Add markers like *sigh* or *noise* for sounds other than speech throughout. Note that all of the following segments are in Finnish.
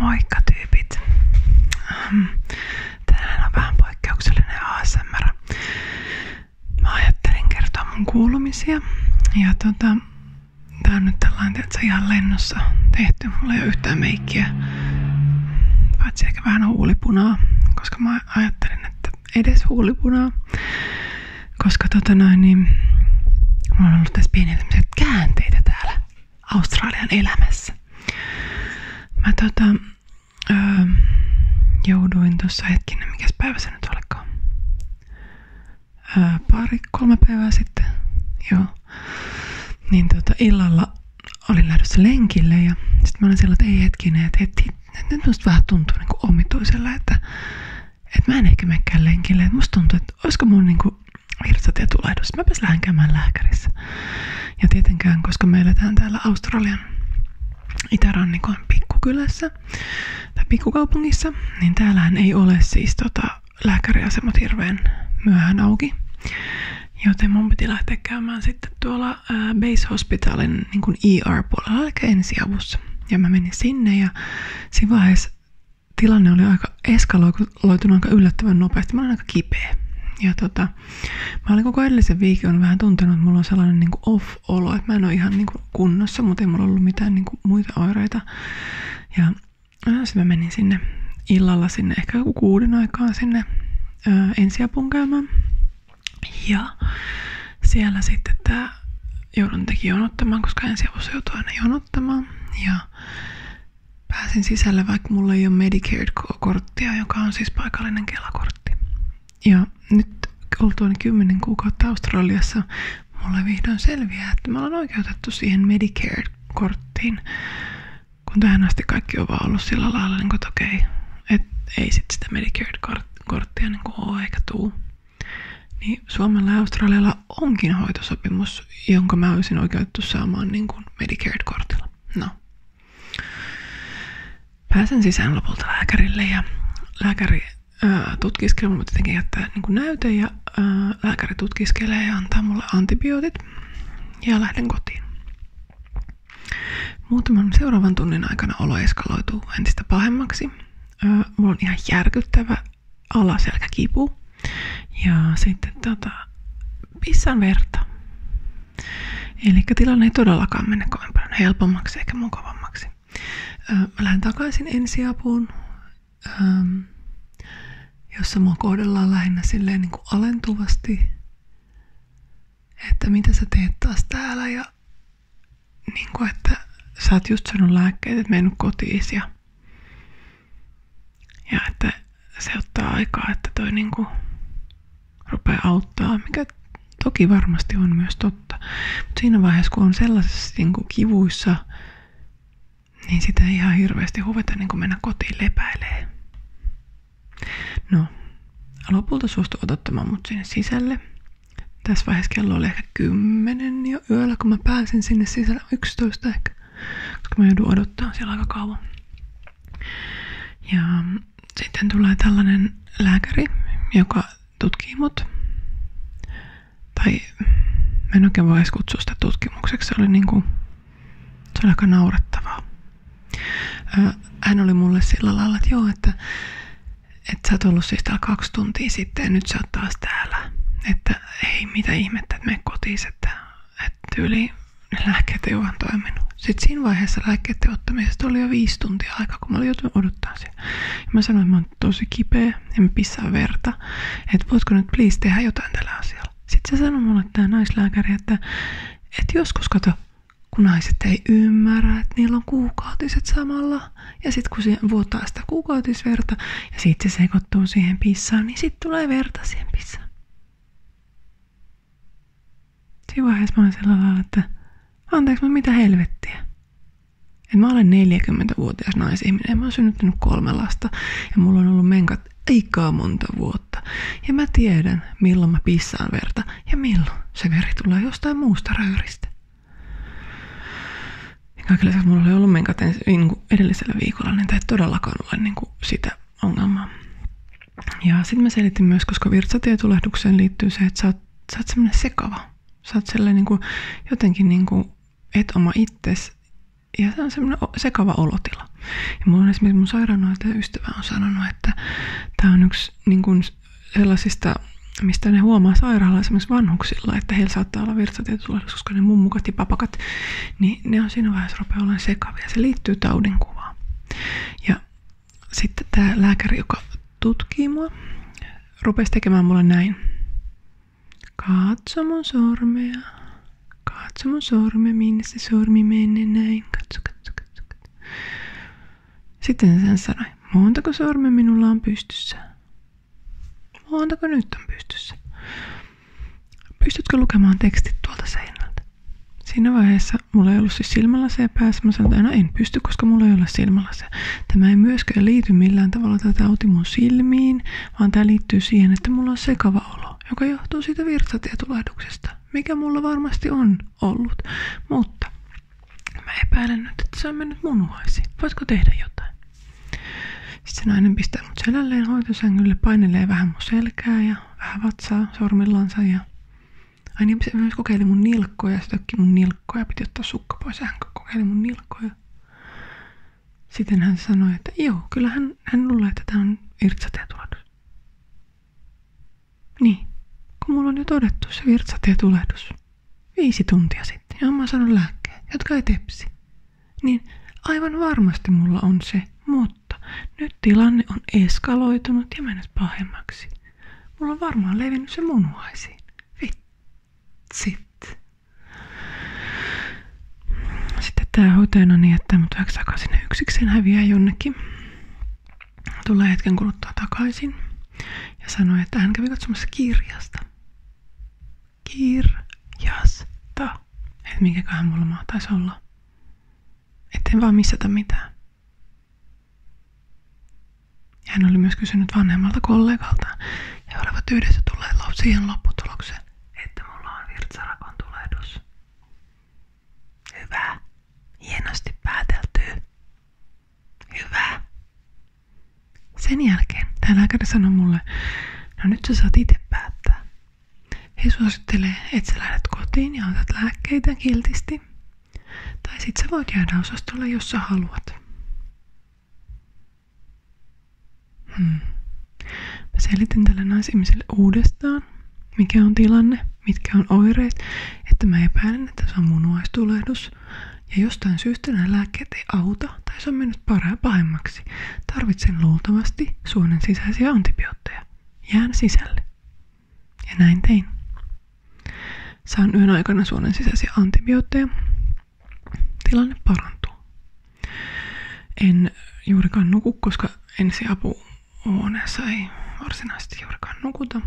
Moikka tyypit! Tänään on vähän poikkeuksellinen ASMR. Mä ajattelin kertoa mun kuulumisia. Ja tota, tää on nyt tällainen, että se ihan lennossa tehty. Mulla ei ole yhtään meikkiä. Paitsi ehkä vähän huulipunaa, koska mä ajattelin, että edes huulipunaa. Koska tota noin, niin mulla on ollut tässä pieniä käänteitä täällä. Australian elämässä. Mä tota, öö, jouduin tuossa hetkinen, mikä päivä se nyt olikaan. Öö, pari, kolme päivää sitten. Joo. Niin tota, illalla olin lähdössä lenkille ja sit mä olin siellä, että ei hetkinen, että, heti, nyt musta vähän tuntuu niin omituisella, että, että mä en ehkä menekään lenkille. Että musta tuntuu, että että olisiko mun niinku virtsatietulehdus. Mäpäs lähden käymään lääkärissä. Ja tietenkään, koska me eletään täällä Australian itärannikon pikkukylässä tai pikkukaupungissa, niin täällähän ei ole siis tota, lääkäriasemat hirveän myöhään auki. Joten mun piti lähteä käymään sitten tuolla ää, Base Hospitalin niin ER-puolella, eli ensiavussa. Ja mä menin sinne ja siinä vaiheessa tilanne oli aika eskaloitunut aika yllättävän nopeasti. Mä olin aika kipeä. Ja tota, mä olin koko edellisen viikon vähän tuntenut, että mulla on sellainen niin off-olo, että mä en ole ihan niin kuin kunnossa, mutta ei mulla ollut mitään niin kuin muita oireita. Ja äh, sitten mä menin sinne illalla sinne, ehkä joku kuuden aikaa sinne ö, äh, ensiapun käymään. Ja siellä sitten tämä joudun teki jonottamaan, koska ensi ensiavussa joutuu aina jonottamaan. Ja pääsin sisälle, vaikka mulla ei ole Medicare-korttia, joka on siis paikallinen kelakortti. Ja nyt oltuani kymmenen kuukautta Australiassa, mulle vihdoin selviää, että mä olen oikeutettu siihen Medicare-korttiin. Kun tähän asti kaikki on vaan ollut sillä lailla, niin kuin, että okei, okay, et ei sit sitä Medicare-korttia niin kuin ole eikä tuu niin Suomella ja Australialla onkin hoitosopimus, jonka mä olisin oikeutettu saamaan niin kuin Medicaid-kortilla. No. Pääsen sisään lopulta lääkärille ja lääkäri ää, tutkiskelee, mutta tietenkin jättää niin kuin näyte ja ää, lääkäri tutkiskelee ja antaa mulle antibiootit ja lähden kotiin. Muutaman seuraavan tunnin aikana olo eskaloituu entistä pahemmaksi. Ää, mulla on ihan järkyttävä alaselkäkipu. Ja sitten tota, pissan verta. Eli tilanne ei todellakaan mene kovin paljon helpommaksi eikä mukavammaksi. Öö, mä lähden takaisin ensiapuun, jossa mua kohdellaan lähinnä silleen niin kuin alentuvasti, että mitä sä teet taas täällä ja niin kuin, että sä oot just saanut lääkkeet, että mennyt kotiin ja ja että se ottaa aikaa, että toi niinku rupeaa auttaa, mikä toki varmasti on myös totta. Mutta siinä vaiheessa, kun on sellaisessa niinku kivuissa, niin sitä ei ihan hirveästi huveta niin mennä kotiin lepäilee. No, lopulta suostu odottamaan mut sinne sisälle tässä vaiheessa kello oli ehkä kymmenen jo yöllä, kun mä pääsin sinne sisällä 11 ehkä, koska mä joudun odottaa siellä aika kauan. Ja sitten tulee tällainen lääkäri, joka tutkii mut. Tai mä en oikein voi edes kutsua sitä tutkimukseksi, se oli niin kuin se oli aika naurettavaa. Hän oli mulle sillä lailla, että joo, että että sä oot ollut siis täällä kaksi tuntia sitten ja nyt sä oot taas täällä. Että ei mitä ihmettä, että me kotiin, että, että tyyli lääkkeet ei vaan toiminut. Sitten siinä vaiheessa lääkkeiden ottamisesta oli jo viisi tuntia aikaa, kun mä olin joutunut odottaa sen. Ja mä sanoin, että mä oon tosi kipeä en mä verta, että voitko nyt please tehdä jotain tällä asialla. Sitten se sanoi mulle tämä naislääkäri, että, että joskus kato, kun naiset ei ymmärrä, että niillä on kuukautiset samalla, ja sitten kun se vuotaa sitä kuukautisverta ja sitten se sekoittuu siihen pissaan, niin sitten tulee verta siihen pissaan. Siinä vaiheessa mä olen sillä lailla, että anteeksi, mutta mitä helvettiä. Et mä olen 40-vuotias naisihminen, mä oon synnyttänyt kolme lasta ja mulla on ollut menkat aikaa monta vuotta. Ja mä tiedän, milloin mä pissaan verta ja milloin se veri tulee jostain muusta röyristä. Ja kaiken lisäksi mulla oli ollut menkat niin edellisellä viikolla, niin tämä ei todellakaan ole niin kuin sitä ongelmaa. Ja sitten mä selitin myös, koska virtsatietulehdukseen liittyy se, että sä oot, sä oot semmoinen sekava. Sä oot sellainen niin kuin, jotenkin niin kuin, et oma itses. Ja se on semmoinen sekava olotila. Ja mulla on esimerkiksi mun sairaanhoitaja ystävä on sanonut, että tämä on yksi niin kuin, sellaisista, mistä ne huomaa sairaalla esimerkiksi vanhuksilla, että heillä saattaa olla virtsatietulaisuus, koska ne mummukat ja papakat, niin ne on siinä vaiheessa rupeaa olemaan sekavia. Se liittyy taudinkuvaan. Ja sitten tämä lääkäri, joka tutkii mua, rupesi tekemään mulle näin. Katso mun sormea. Katso mun sormea, minne se sormi menee näin. Katso, katso, katso, katso. Sitten hän sanoi, montako sorme minulla on pystyssä? Montako nyt on pystyssä? Pystytkö lukemaan tekstit tuolta seinältä? Siinä vaiheessa mulla ei ollut siis silmälaseja päässä. Mä sanoin, että no en pysty, koska mulla ei ole silmälaseja. Tämä ei myöskään liity millään tavalla tätä tauti mun silmiin, vaan tämä liittyy siihen, että mulla on sekava olo, joka johtuu siitä virtsatietulahduksesta, mikä mulla varmasti on ollut. Mutta Mä epäilen nyt, että se on mennyt munuaisiin. Voisiko tehdä jotain? Sitten se nainen pistää mut selälleen hoitosängylle, painelee vähän mun selkää ja vähän vatsaa sormillansa. Ja... Ai niin, se myös kokeili mun nilkkoja, se tökki mun nilkkoja, piti ottaa sukka pois ja hän kokeili mun nilkkoja. Sitten hän sanoi, että joo, kyllä hän, hän luulee, että tämä on virtsatietulehdus. Niin, kun mulla on jo todettu se virtsatietulehdus viisi tuntia sitten ja mä saanut lääkkeet, jotka ei tepsi. Niin aivan varmasti mulla on se, mutta nyt tilanne on eskaloitunut ja mennyt pahemmaksi. Mulla on varmaan levinnyt se munuaisiin. Vitsit. Sitten tää hoitajana niin, että mut väksaka sinne yksikseen häviää jonnekin tulee hetken kuluttua takaisin ja sanoi, että hän kävi katsomassa kirjasta. Kirjasta. Et minkäköhän mulla mahtaisi olla. en vaan missätä mitään. Ja hän oli myös kysynyt vanhemmalta kollegalta ja olivat yhdessä tulleet siihen lopputulokseen, että mulla on virtsarakon tulehdus. Hyvä. Hienosti päätelty. Hyvä. Sen jälkeen tämä lääkäri sanoi mulle, no nyt sä saat itse päättää. He suosittelee, että sä lähdet kotiin ja otat lääkkeitä kiltisti. Tai sit sä voit jäädä osastolle, jos sä haluat. Hmm. Mä selitin tälle naisihmiselle uudestaan, mikä on tilanne mitkä on oireet, että mä epäilen, että se on munuaistulehdus. Ja jostain syystä nämä lääkkeet ei auta tai se on mennyt parhaan pahemmaksi. Tarvitsen luultavasti suonen sisäisiä antibiootteja. Jään sisälle. Ja näin tein. Saan yön aikana suonen sisäisiä antibiootteja. Tilanne parantuu. En juurikaan nuku, koska ensiapu huoneessa ei varsinaisesti juurikaan nukuta.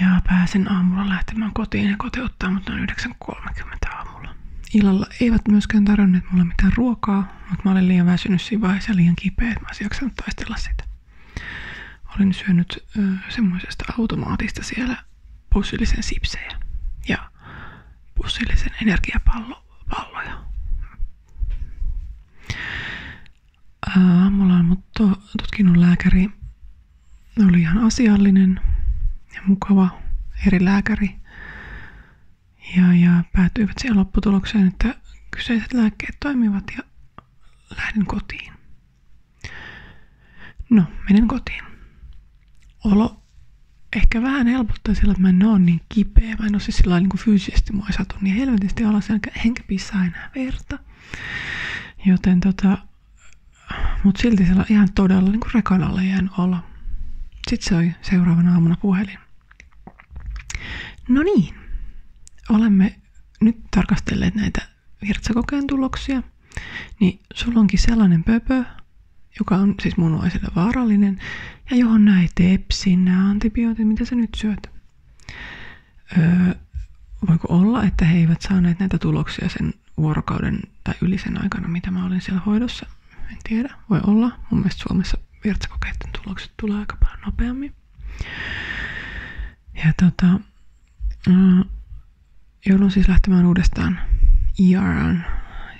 Ja pääsen aamulla lähtemään kotiin ja kotiuttaa, mutta noin 9.30 aamulla. Illalla eivät myöskään tarjonneet mulle mitään ruokaa, mutta mä olin liian väsynyt siinä vaiheessa liian kipeä, että mä olisin taistella sitä. Olin syönyt ö, semmoisesta automaatista siellä pussillisen sipsejä ja pussillisen energiapalloja aamulla on mut to, tutkinut lääkäri. Oli ihan asiallinen ja mukava eri lääkäri. Ja, ja päätyivät siihen lopputulokseen, että kyseiset lääkkeet toimivat ja lähden kotiin. No, menen kotiin. Olo ehkä vähän helpottaa sillä, että mä en ole niin kipeä. Mä en ole siis sillä niin kuin fyysisesti mua ei satu niin helvetisti alas tietenkin pissaa enää verta. Joten tota, mut silti siellä on ihan todella niin rekanalle jäänyt olla. Sitten soi se seuraavana aamuna puhelin. No niin, olemme nyt tarkastelleet näitä virtsakokeen tuloksia. Niin sulla onkin sellainen pöpö, joka on siis munuaisille vaarallinen, ja johon näitä tepsin nämä antibiootit, mitä sä nyt syöt. Öö, voiko olla, että he eivät saaneet näitä tuloksia sen vuorokauden tai yli sen aikana, mitä mä olin siellä hoidossa? En tiedä, voi olla. Mun mielestä Suomessa virtsakokeiden tulokset tulee aika paljon nopeammin. Ja tota, joudun siis lähtemään uudestaan IRAn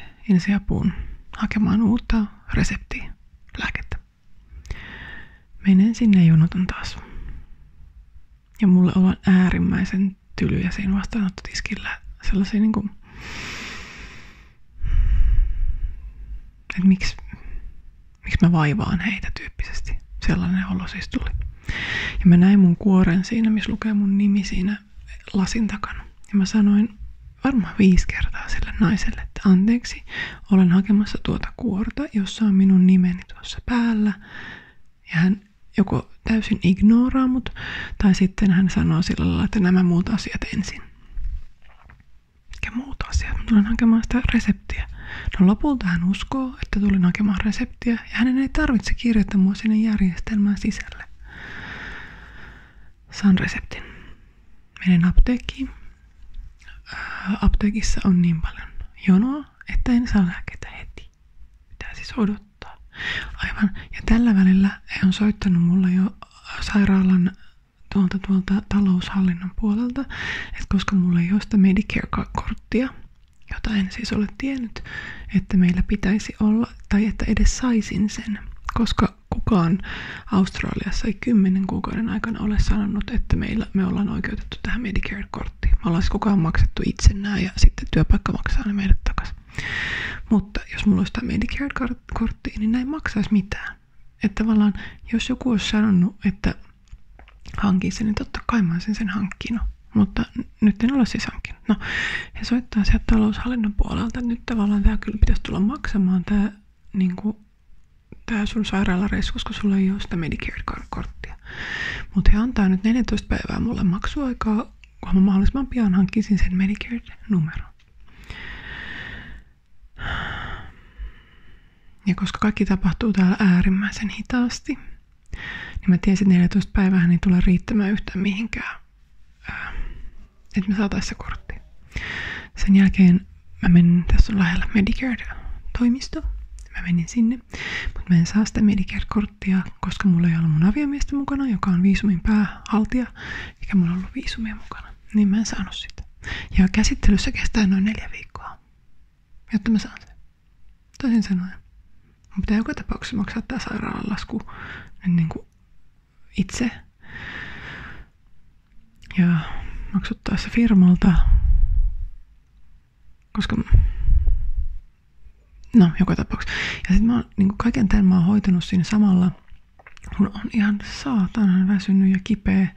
e ensiapuun hakemaan uutta reseptiä lääkettä. Menen sinne jonotan taas. Ja mulle ollaan äärimmäisen tylyjä siinä vastaanottotiskillä. Sellaisia niinku... Että miksi, miksi mä vaivaan heitä tyyppisesti. Sellainen olo siis tuli. Ja mä näin mun kuoren siinä, missä lukee mun nimi siinä lasin takana. Ja mä sanoin varmaan viisi kertaa sille naiselle, että anteeksi, olen hakemassa tuota kuorta, jossa on minun nimeni tuossa päällä. Ja hän joko täysin ignoraa mut, tai sitten hän sanoo sillä lailla, että nämä muut asiat ensin. Mikä muut asiat? Mä tulen hakemaan sitä reseptiä. No lopulta hän uskoo, että tulin hakemaan reseptiä, ja hänen ei tarvitse kirjoittaa mua sinne järjestelmään sisälle. Saan reseptin. Menen apteekkiin, Äh, apteekissa on niin paljon jonoa, että en saa lääkkeitä heti. Pitää siis odottaa. Aivan. Ja tällä välillä he on soittanut mulle jo sairaalan tuolta, tuolta taloushallinnon puolelta, että koska mulla ei ole sitä Medicare-korttia, jota en siis ole tiennyt, että meillä pitäisi olla, tai että edes saisin sen, koska kukaan Australiassa ei kymmenen kuukauden aikana ole sanonut, että meillä, me ollaan oikeutettu tähän Medicare-korttiin. Me ollaan siis kukaan maksettu itse nämä ja sitten työpaikka maksaa ne meille takaisin. Mutta jos mulla olisi tämä Medicare-kortti, niin näin maksaisi mitään. Että tavallaan, jos joku olisi sanonut, että hankin sen, niin totta kai mä sen sen hankkinut. Mutta nyt en ole siis hankinut. No, he soittaa sieltä taloushallinnon puolelta, että nyt tavallaan tämä kyllä pitäisi tulla maksamaan tämä niin kuin, tää sun sairaalareissus, kun sulla ei ole sitä Medicare-korttia. Mutta he antaa nyt 14 päivää mulle maksuaikaa, kun mä mahdollisimman pian hankkisin sen Medicare-numeron. Ja koska kaikki tapahtuu täällä äärimmäisen hitaasti, niin mä tiesin, että 14 päivää ei tule riittämään yhtään mihinkään nyt me saataisiin se kortti. Sen jälkeen mä menin, tässä on lähellä Medicare-toimisto. Mä menin sinne, mutta mä en saa sitä Medicare-korttia, koska mulla ei ollut mun aviomiestä mukana, joka on viisumin päähaltija, eikä mulla ollut viisumia mukana. Niin mä en saanut sitä. Ja käsittelyssä kestää noin neljä viikkoa, jotta mä saan sen. Toisin sanoen, mun pitää joka tapauksessa maksaa tämä sairaalan lasku niin kuin itse. Ja maksuttaessa firmalta, koska no joka tapauksessa. Ja sitten mä oon, niin kaiken tämän mä oon hoitanut siinä samalla, kun on ihan saatanan väsynyt ja kipeä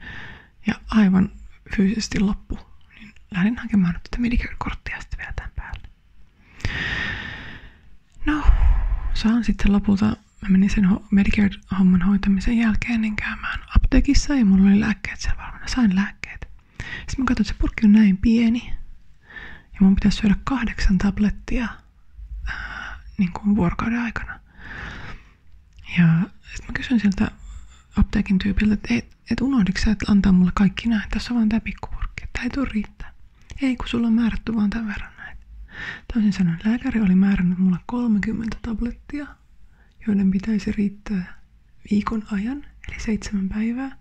ja aivan fyysisesti loppu. Niin lähdin hakemaan nyt tätä Medicare-korttia sitten vielä tämän päälle. No, saan sitten lopulta mä menin sen Medicare-homman hoitamisen jälkeen niin käymään apteekissa ja mulla oli lääkkeet siellä valmiina. Sain lääkkeet. Sitten mä katsoin, että se purkki on näin pieni ja mun pitäisi syödä kahdeksan tablettia ää, äh, niin kuin vuorokauden aikana. Ja sitten mä kysyin sieltä apteekin tyypiltä, että et, et unohdiko sä, että antaa mulle kaikki nämä, tässä on vaan tämä pikkupurkki, että ei tule riittää. Ei, kun sulla on määrätty vaan tämän verran näin. Toisin sanoen lääkäri oli määrännyt mulle 30 tablettia, joiden pitäisi riittää viikon ajan, eli seitsemän päivää.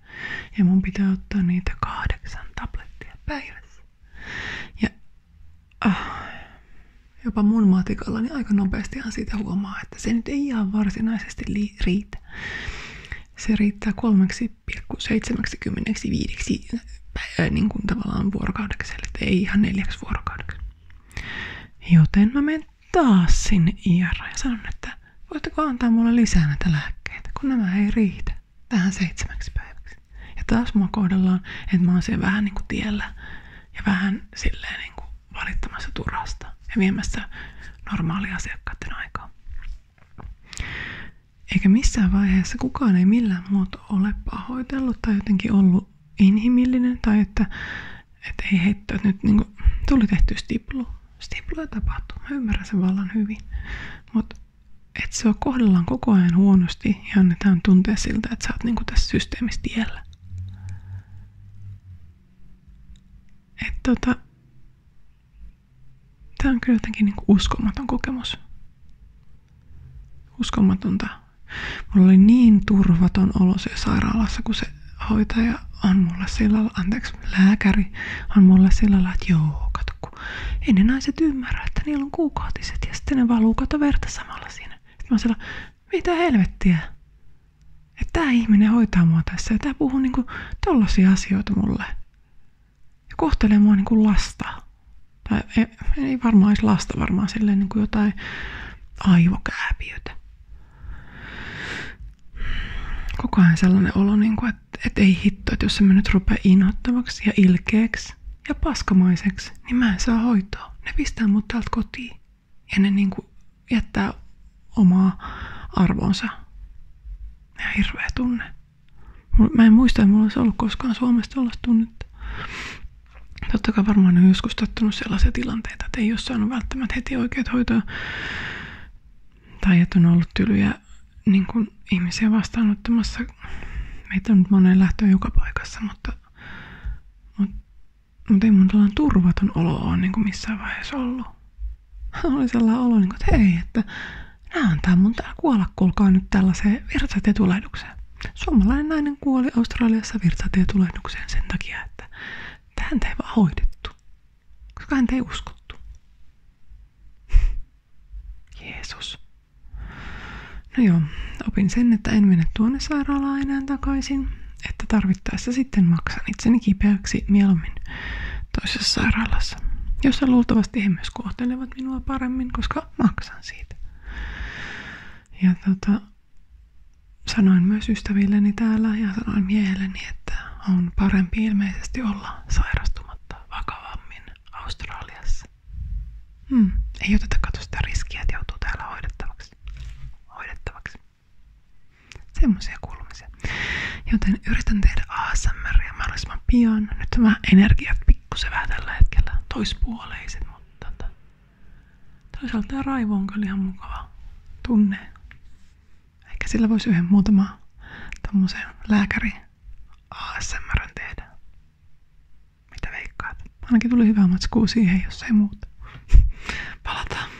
Ja mun pitää ottaa niitä kahdeksan tablettia päivässä. Ja ah, jopa mun matikalla, niin aika nopeastihan siitä huomaa, että se nyt ei ihan varsinaisesti riitä. Se riittää kolmeksi 2,75 ää, niin kuin tavallaan vuorokaudeksi, eli ei ihan neljäksi vuorokaudeksi. Joten mä menen taas sinne IR ja sanon, että voitteko antaa mulle lisää näitä lääkkeitä, kun nämä ei riitä tähän seitsemäksi päiväksi. Ja taas mua kohdellaan, että mä oon siellä vähän niin kuin tiellä ja vähän silleen niin kuin valittamassa turhasta ja viemässä normaalia asiakkaiden aikaa. Eikä missään vaiheessa kukaan ei millään muotoa ole pahoitellut tai jotenkin ollut inhimillinen tai että, että ei heitto, että nyt niin kuin, tuli tehty stiplu. Stipluja tapahtuu, mä ymmärrän sen vallan hyvin. Mutta että se kohdellaan koko ajan huonosti ja annetaan tuntea siltä, että sä oot niin kuin tässä systeemissä tiellä. Et tota, Tämä on kyllä jotenkin niin uskomaton kokemus. Uskomatonta. Mulla oli niin turvaton olo se sairaalassa, kun se hoitaja on mulle sillä lailla, anteeksi, lääkäri on mulle sillä lailla, että joo, kato, kun ei ne naiset ymmärrä, että niillä on kuukautiset ja sitten ne valuu kato verta samalla siinä. Sitten mä oon mitä helvettiä? Että tämä ihminen hoitaa mua tässä ja tämä puhuu niinku tollasia asioita mulle ja kohtelee mua niin kuin lasta. Tai ei, ei varmaan olisi lasta, varmaan silleen niin kuin jotain aivokääpiötä. Koko ajan sellainen olo, niin kuin, että, että ei hitto, että jos mä nyt rupea inhottavaksi ja ilkeäksi ja paskamaiseksi, niin mä en saa hoitoa. Ne pistää mut täältä kotiin ja ne niin kuin jättää omaa arvonsa. Ja hirveä tunne. Mä en muista, että mulla olisi ollut koskaan Suomesta tällaista tunnetta. Totta kai varmaan on joskus tottunut sellaisia tilanteita, että ei ole saanut välttämättä heti oikeat hoitoa. Tai että on ollut tylyjä niin kuin ihmisiä vastaanottamassa. Meitä on nyt moneen lähtöön joka paikassa, mutta, mutta, mutta ei mun turvaton olo ole niin kuin missään vaiheessa ollut oli sellainen olo, niin että hei, että nämä antaa mun täällä kuolla, kuulkaa nyt tällaiseen virtsatietulehdukseen. Suomalainen nainen kuoli Australiassa virtsatietulehdukseen sen takia, että häntä ei vaan hoidettu, koska häntä ei uskottu. *laughs* Jeesus. No joo, opin sen, että en mene tuonne sairaalaan enää takaisin, että tarvittaessa sitten maksan itseni kipeäksi mieluummin toisessa sairaalassa kanssa, jossa luultavasti he myös kohtelevat minua paremmin, koska maksan siitä. Ja tota, sanoin myös ystävilleni täällä ja sanoin miehelleni, että on parempi ilmeisesti olla sairastumatta vakavammin Australiassa. Hmm, ei oteta katso sitä riskiä, että joutuu täällä hoidettavaksi. Hoidettavaksi. Semmoisia kuulumisia. Joten yritän tehdä ja mahdollisimman pian. Nyt mä energiat pikkusen vähän tällä hetkellä toispuoleiset, mutta tota, toisaalta tämä raivo on kyllä ihan mukava tunne. Ehkä sillä voisi yhden muutama tommosen lääkäri ASMRn tehdä. Mitä veikkaat? Ainakin tuli hyvää matskua siihen, jos ei muuta. Palataan.